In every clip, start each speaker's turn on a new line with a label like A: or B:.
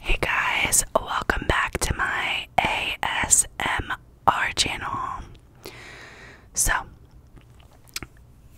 A: Hey guys, welcome back to my ASMR channel. So,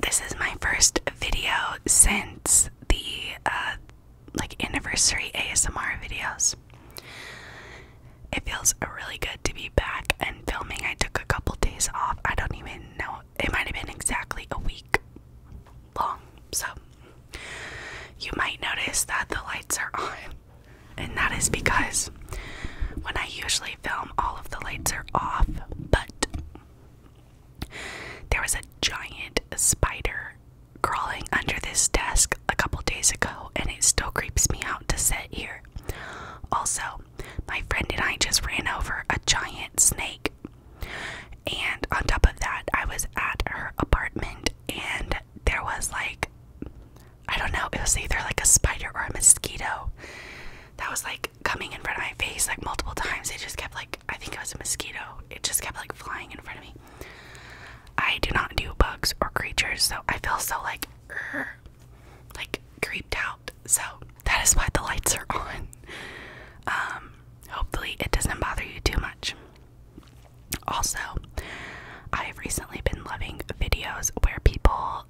A: this is my first video since the uh, like anniversary ASMR videos. It feels really good to be back and filming. I took a couple days off. I don't even know. It might have been exactly a week long. So, you might notice that the lights are on, and that is because when I usually film, all of the lights are off, but there was a giant spider crawling under this desk a couple days ago, and it still creeps me out to sit here. Also, my friend and I just ran over a giant snake and on top of that, I was at her apartment and there was like, I don't know, it was either like a spider or a mosquito that was like coming in front of my face like multiple times. It just kept like, I think it was a mosquito, it just kept like flying in front of me. I do not do bugs or creatures, so I feel so like, er, like creeped out. So that is why the lights are on. Um, hopefully, it doesn't bother you too much. Also, I have recently been loving videos where people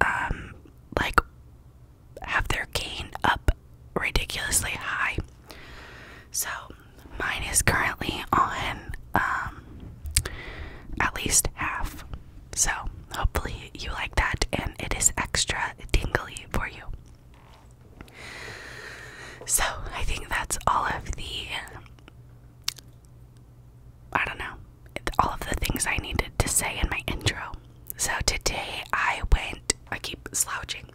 A: um like have their gain up ridiculously high. So mine is currently on um at least half. So hopefully you like that and it is extra dingly for you. So, I think that's all of the I don't know, all of the things I needed to say in my intro. So, today I went, I keep slouching.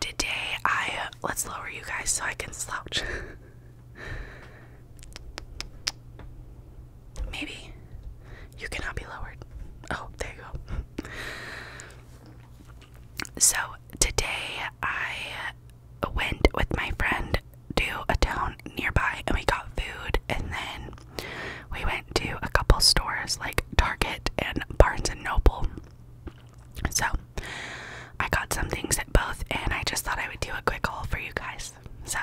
A: Today I, let's lower you guys so I can slouch. Maybe you cannot be lowered. Oh, there you go. So today I went with my friend to a town nearby and we got food and then we went to a couple stores like Target and Barnes and Noble. So I got some things at both and I just thought I would do a quick haul for you guys. So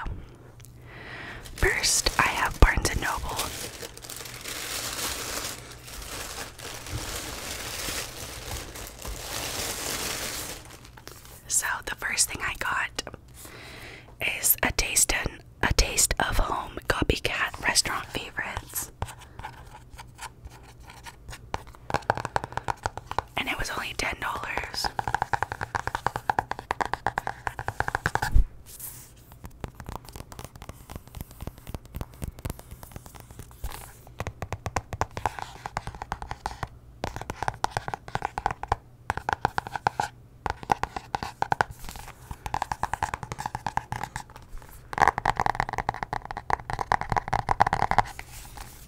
A: First, I have Barnes and Noble. So the first thing I got is a taste a taste of home copycat restaurant favorites. And it was only ten dollars.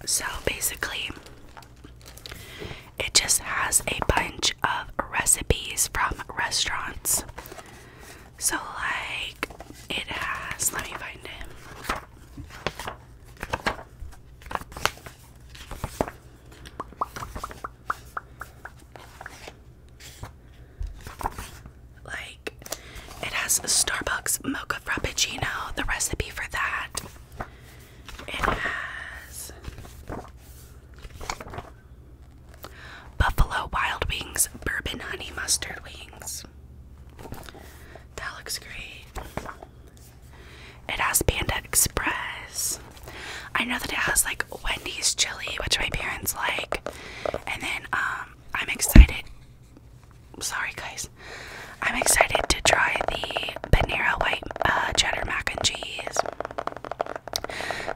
A: So basically, it just has a bunch of recipes from restaurants so like it has let me find him. Like it has a Starbucks mocha frappuccino, the recipe for that. It has Buffalo Wild Wings Bourbon Honey Mustard Wings. That looks great. It has Panda Express. I know that it has like Wendy's chili, which my parents like. And then um I'm excited. Sorry guys. I'm excited to try the Panera white uh, cheddar mac and cheese.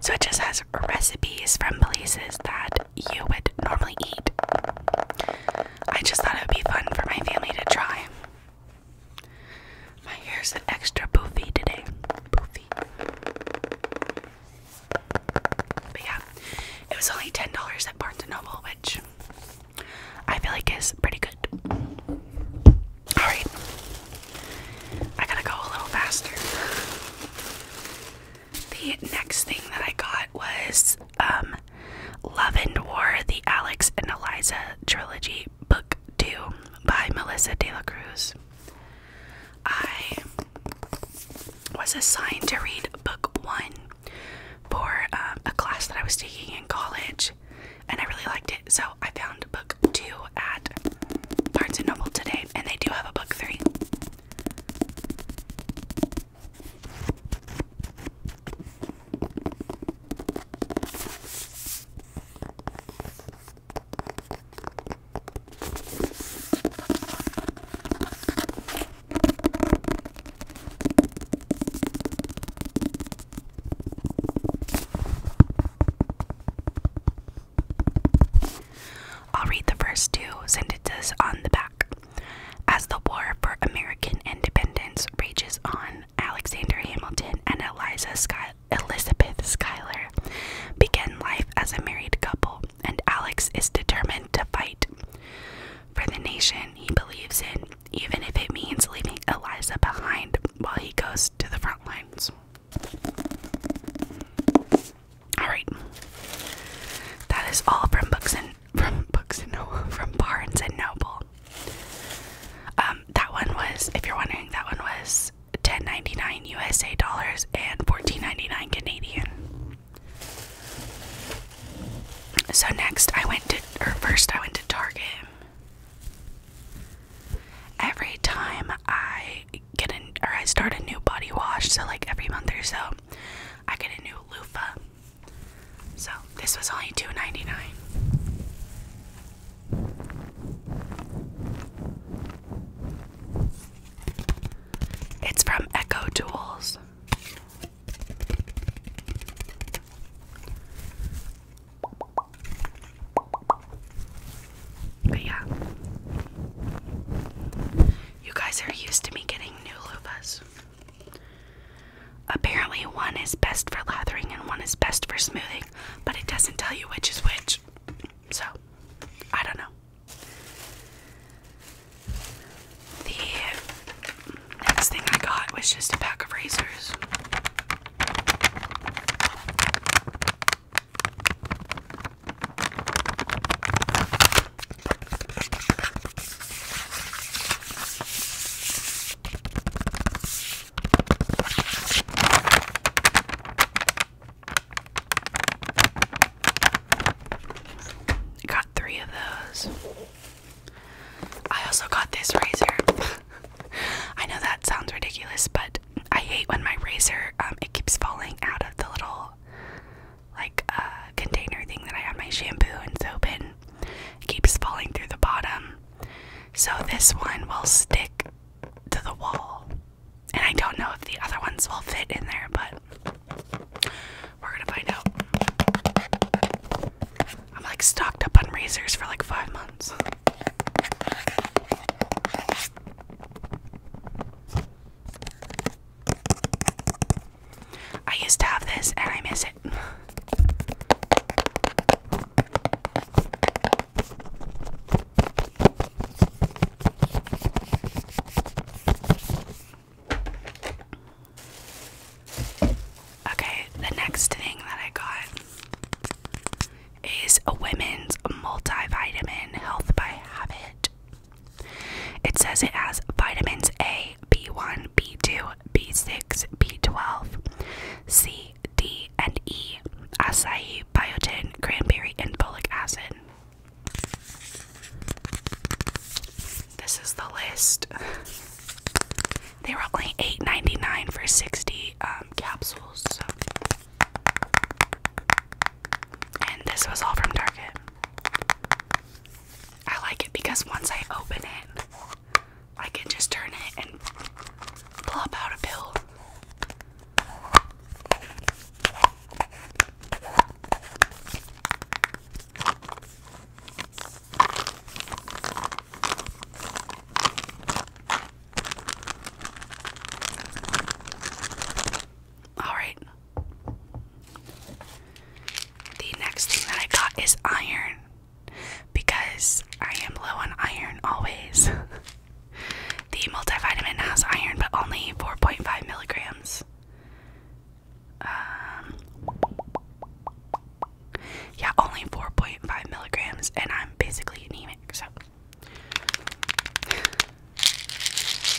A: So it just has recipes from places that you would normally eat. I just thought it would be fun for my family to try. My hair's an extra poofy today. Poofy. But yeah, it was only $10 at Barnes & Noble, which I feel like is pretty good. Alright, I gotta go a little faster. The next thing that I got was um, Love and War, the Alex and Eliza Trilogy, Book 2 by Melissa De La Cruz. I was assigned to read Book 1 for um, a class that I was taking in college, and I really liked it, so I found Book 2 at Barnes & Noble today, and they do have a Book 3. I'll read the first two sentences on the back. As the war for American independence rages on, Alexander Hamilton and Eliza Sky Elizabeth Schuyler begin life as a married couple, and Alex is determined to fight for the nation he believes in, even if it means leaving Eliza behind while he goes to the front lines. All right, that is all from Books and from Books and Noble, from Barnes and Noble. Um, that one was, if you're wondering, that one was ten ninety nine USA dollars and fourteen ninety nine Canadian. So next, I went to, or first, I went to Target. Every time I get an, or I start a new body wash, so like every month or so, I get a new loofah. So this was only $2.99. It's from Echo Tools. But yeah, you guys are used to me getting new loofahs. Apparently, one is best for lathering and one is best for smoothing, but it doesn't tell you which is which. So, I don't know. The next thing I got was just a pack of razors. I got three of those. I also got this razor. I know that sounds ridiculous, but I hate when my razor um, it keeps falling out of the little like a uh, container thing that I have my shampoo and soap in. keeps falling through the bottom. So this one will stick to the wall. And I don't know if the other ones will fit in there, but we're gonna find out. I'm like stocked up on razors for like five months. I used to have this and I miss it. Okay, the next thing that I got is a women's multivitamin health by habit it says it has vitamins A, B1, B2, B6, B12, C, D, and E, acai, biotin, cranberry, and folic acid. This is the list. They were only eight ninety nine for 60 um, capsules. And this was all from Target. I like it because once I open it, I can just turn it and plop out a pill. All right. The next thing that I got is iron because I am low on iron always. the multivitamin has iron, but only 4.5 milligrams. Um, yeah, only 4.5 milligrams, and I'm basically anemic, so.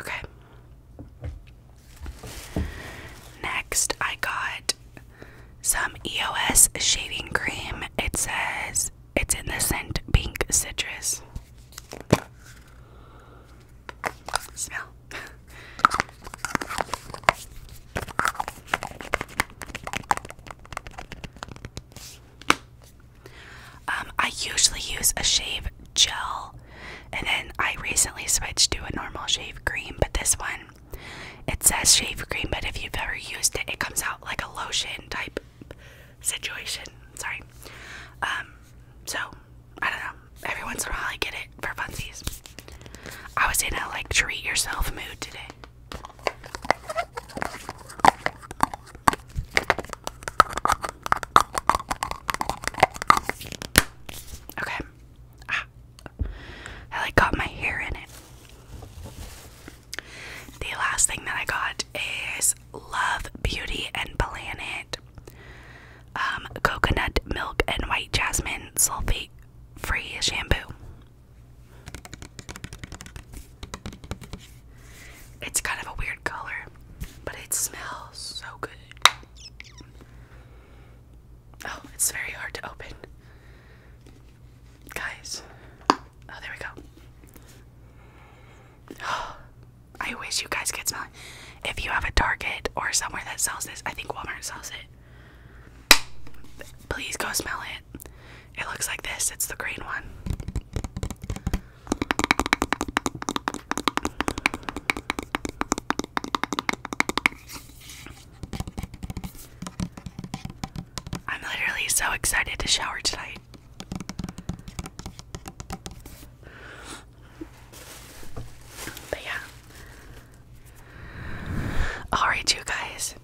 A: Okay. Next, I got some EOS shaving cream. It says it's in the scent pink citrus. Smell. Um, I usually use a shave gel, and then I recently switched to a normal shave cream. But this one, it says shave cream, but if you've ever used it, it comes out like a lotion type situation. Sorry. Um, so I don't know. Every once in a while, I get it for funsies. I was in a like treat yourself mood today. Okay. Ah. I like got my hair in it. The last thing that I got is Love, Beauty, and Planet. Um, coconut milk and white jasmine sulfate free shampoo. It's kind of a weird color, but it smells so good. Oh, it's very hard to open. Guys. Oh, there we go. Oh, I wish you guys could smell it. If you have a Target or somewhere that sells this, I think Walmart sells it. Please go smell it. It looks like this. It's the green one. I'm literally so excited to shower tonight. But yeah. Alright, you guys.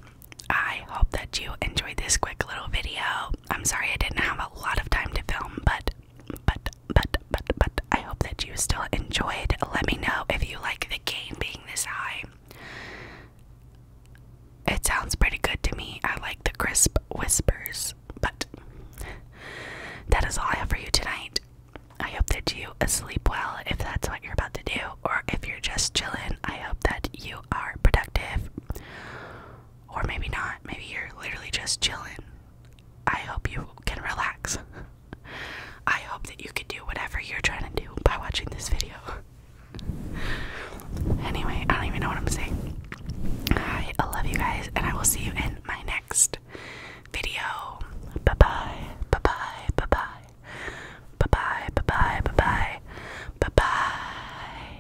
A: I hope that you enjoyed this quick little video. I'm sorry I didn't have a lot of time to film, but but but but but I hope that you still enjoyed. Let me know if you like the game being this high. It sounds pretty good to me. I like the crisp whispers, but that is all I have for you tonight. I hope that you sleep well if that's what you're about to do, or if you're just chilling, I hope that you are productive. Or maybe not. Maybe you're literally just chilling. I hope you can relax. I hope that you can do whatever you're trying to do by watching this video. anyway, I don't even know what I'm saying. I love you guys, and I will see you in my next video. Bye bye. Bye bye. Bye bye. Bye bye. Bye bye. Bye bye. Bye bye.